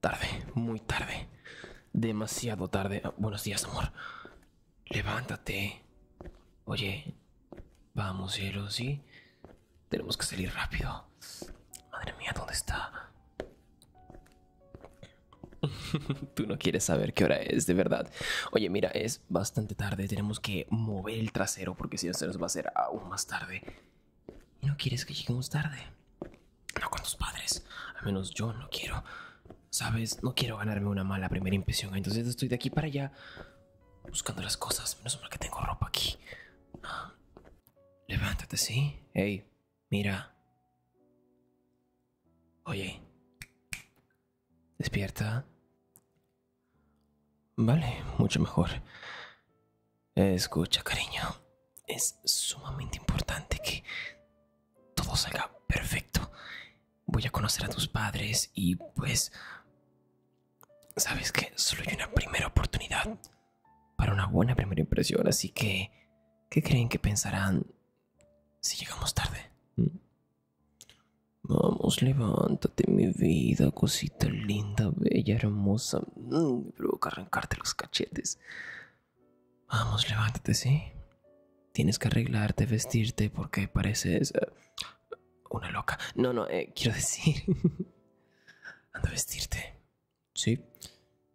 Tarde, muy tarde. Demasiado tarde. buenos días, amor. Levántate. Oye, vamos, cielo, ¿sí? Tenemos que salir rápido. Madre mía, ¿dónde está? Tú no quieres saber qué hora es, de verdad. Oye, mira, es bastante tarde. Tenemos que mover el trasero porque si no se nos va a hacer aún más tarde no quieres que lleguemos tarde. No con tus padres. Al menos yo no quiero. Sabes, no quiero ganarme una mala primera impresión. Entonces estoy de aquí para allá buscando las cosas. Menos mal que tengo ropa aquí. Levántate, ¿sí? Hey, mira. Oye. Despierta. Vale, mucho mejor. Escucha, cariño. Es sumamente importante que todo salga perfecto. Voy a conocer a tus padres y pues... Sabes que solo hay una primera oportunidad para una buena primera impresión, así que... ¿Qué creen que pensarán si llegamos tarde? ¿Mm? Vamos, levántate, mi vida, cosita linda, bella, hermosa. Mm, me provoca arrancarte los cachetes vamos, levántate, ¿sí? Tienes que arreglarte, vestirte, porque pareces una loca. No, no, eh, quiero decir, anda vestirte, ¿sí?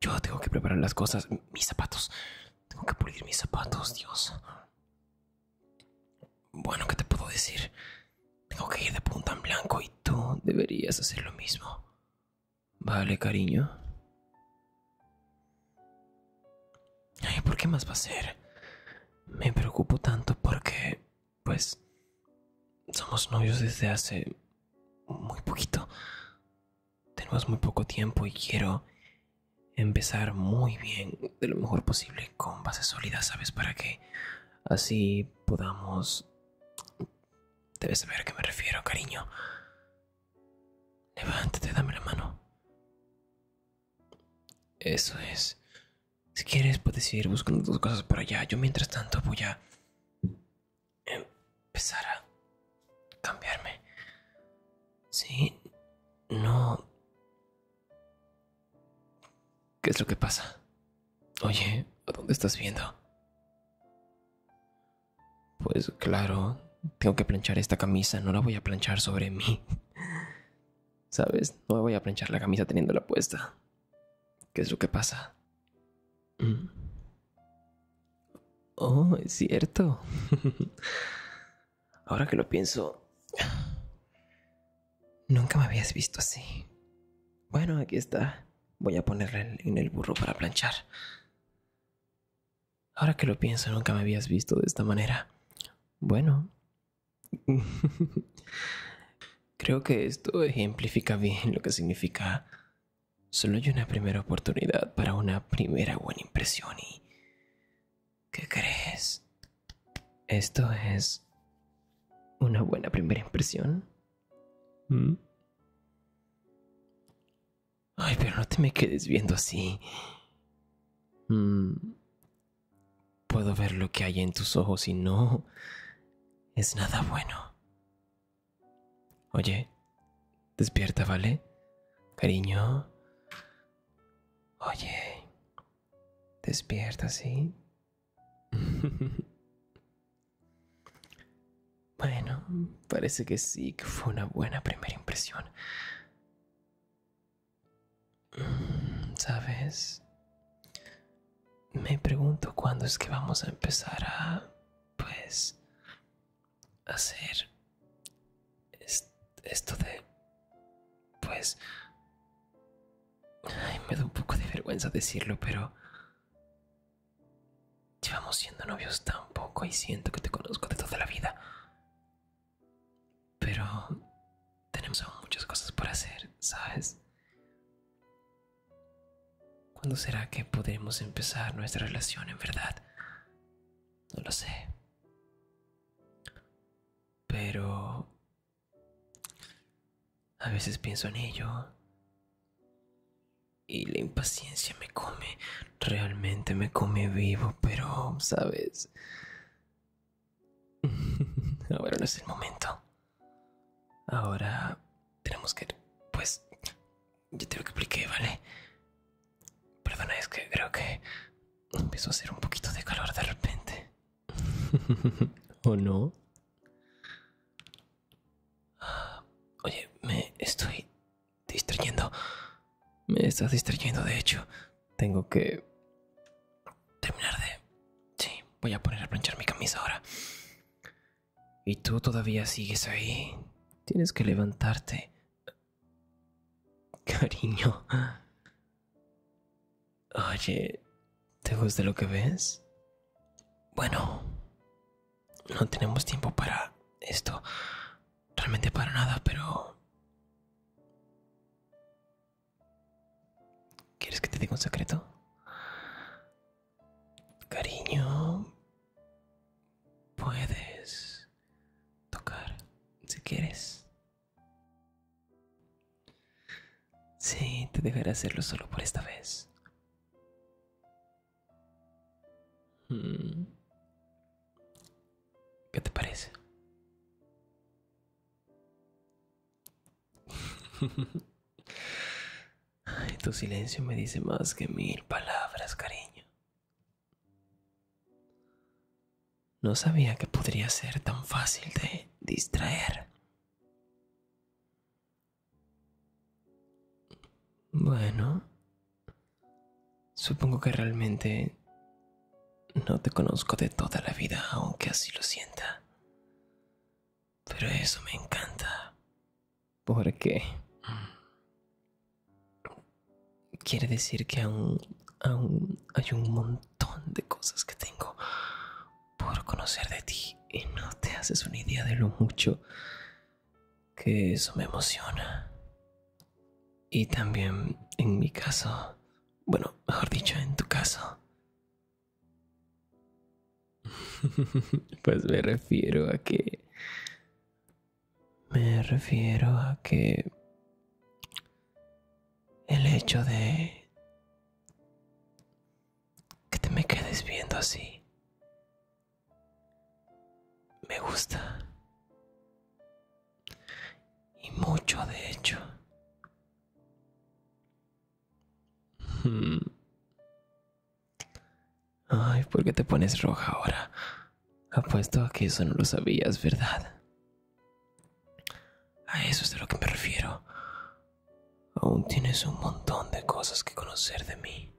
Yo tengo que preparar las cosas, mis zapatos. Tengo que pulir mis zapatos, Dios. Bueno, ¿qué te puedo decir? Tengo que ir de punta en blanco y tú deberías hacer lo mismo. Vale, cariño. Ay, ¿por qué más va a ser? Me preocupo tanto porque, pues, somos novios desde hace muy poquito. Tenemos muy poco tiempo y quiero empezar muy bien, de lo mejor posible, con bases sólidas, ¿sabes? Para que así podamos Debes saber a qué me refiero, cariño. Levántate, dame la mano. Eso es. Si quieres, puedes ir buscando tus cosas para allá. Yo, mientras tanto, voy a empezar a cambiarme. Sí, no. ¿Qué es lo que pasa? Oye, ¿a dónde estás viendo? Pues claro, tengo que planchar esta camisa, no la voy a planchar sobre mí. ¿Sabes? No voy a planchar la camisa teniéndola puesta. ¿Qué es lo que pasa? Mm. Oh, es cierto. Ahora que lo pienso, nunca me habías visto así. Bueno, aquí está. Voy a ponerle en el burro para planchar. Ahora que lo pienso, nunca me habías visto de esta manera. Bueno. Creo que esto ejemplifica bien lo que significa. Solo hay una primera oportunidad para una primera buena impresión y... ¿Qué crees? Esto es... ¿Una buena primera impresión? Mm. Ay, pero no te me quedes viendo así. Mm. Puedo ver lo que hay en tus ojos y no es nada bueno. Oye, despierta, ¿vale? Cariño. Oye, despierta, ¿sí? Bueno, parece que sí, que fue una buena primera impresión. ¿Sabes? Me pregunto cuándo es que vamos a empezar a, pues, hacer esto de, pues, ay, me da un poco de vergüenza decirlo, pero Llevamos siendo novios tan poco y siento que te conozco de toda la vida. Pero tenemos aún muchas cosas por hacer, ¿sabes? ¿Cuándo será que podremos empezar nuestra relación en verdad? No lo sé. Pero a veces pienso en ello. Y la impaciencia me come, realmente me come vivo, pero, ¿sabes? Ahora no es el momento. Ahora tenemos que... Pues... yo te lo expliqué, ¿vale? Perdona, es que creo que empezó a hacer un poquito de calor de repente. ¿O no? Oye, me estoy distrayendo. Me estás distrayendo, de hecho. Tengo que terminar de... Sí, voy a poner a planchar mi camisa ahora. Y tú todavía sigues ahí. Tienes que levantarte. Cariño. Oye, ¿te gusta lo que ves? Bueno, no tenemos tiempo para esto. Realmente para nada, pero... ¿Quieres que te diga un secreto? Cariño, puedes tocar si quieres. Sí, te dejaré hacerlo solo por esta vez. Hmm. ¿Qué te parece? tu silencio me dice más que mil palabras, cariño. No sabía que podría ser tan fácil de distraer. Bueno, supongo que realmente no te conozco de toda la vida, aunque así lo sienta. Pero eso me encanta. porque Quiere decir que aún hay un montón de cosas que tengo por conocer de ti y no te haces una idea de lo mucho que eso me emociona. Y también en mi caso, bueno, mejor dicho, en tu caso. pues me refiero a que... Me refiero a que... El hecho de que te me quedes viendo así. Me gusta. Y mucho, de hecho. Hmm. Ay, ¿por qué te pones roja ahora? Apuesto a que eso no lo sabías, ¿verdad? A eso es de lo que me refiero. Aún tienes un montón de cosas que conocer de mí.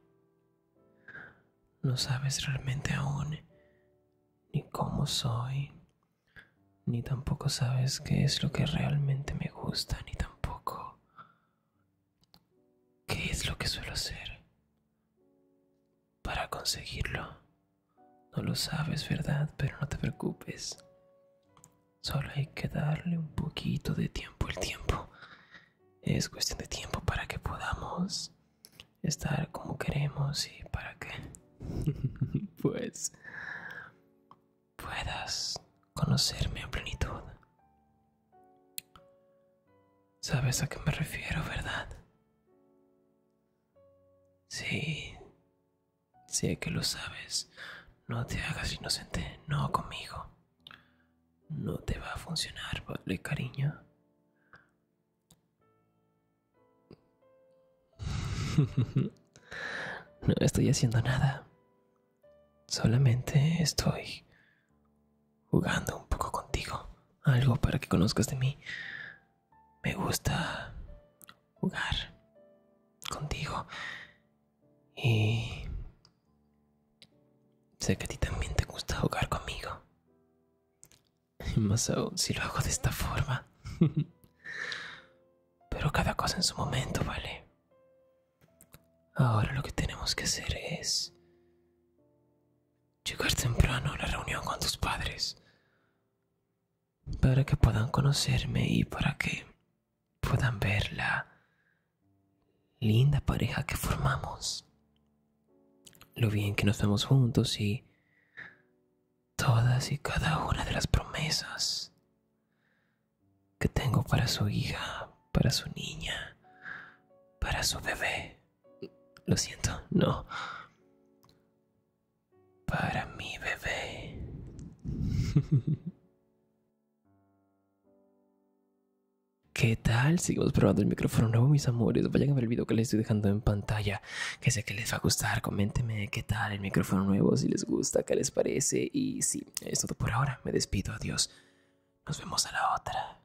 No sabes realmente aún ni cómo soy, ni tampoco sabes qué es lo que realmente me gusta, ni tampoco qué es lo que suelo hacer para conseguirlo. No lo sabes, ¿verdad? Pero no te preocupes. Solo hay que darle un poquito de tiempo El tiempo. Es cuestión de tiempo para que podamos estar como queremos y para que pues puedas conocerme en plenitud. ¿Sabes a qué me refiero, verdad? Sí, sé que lo sabes. No te hagas inocente, no conmigo. No te va a funcionar, vale, cariño. no estoy haciendo nada. Solamente estoy jugando un poco contigo. Algo para que conozcas de mí. Me gusta jugar contigo. Y Sé que a ti también te gusta jugar conmigo. Y más aún si lo hago de esta forma. Pero cada cosa en su momento, ¿vale? Ahora lo que tenemos que hacer es... Llegar temprano a la reunión con tus padres. Para que puedan conocerme y para que puedan ver la linda pareja que formamos, lo bien que nos vemos juntos y todas y cada una de las promesas que tengo para su hija, para su niña, para su bebé. Lo siento, no. Para mi bebé. ¿Qué tal? Sigamos probando el micrófono nuevo, mis amores. Vayan a ver el video que les estoy dejando en pantalla, que sé que les va a gustar. Coméntenme qué tal el micrófono nuevo, si les gusta, qué les parece. Y sí, es todo por ahora. Me despido, adiós. Nos vemos a la otra.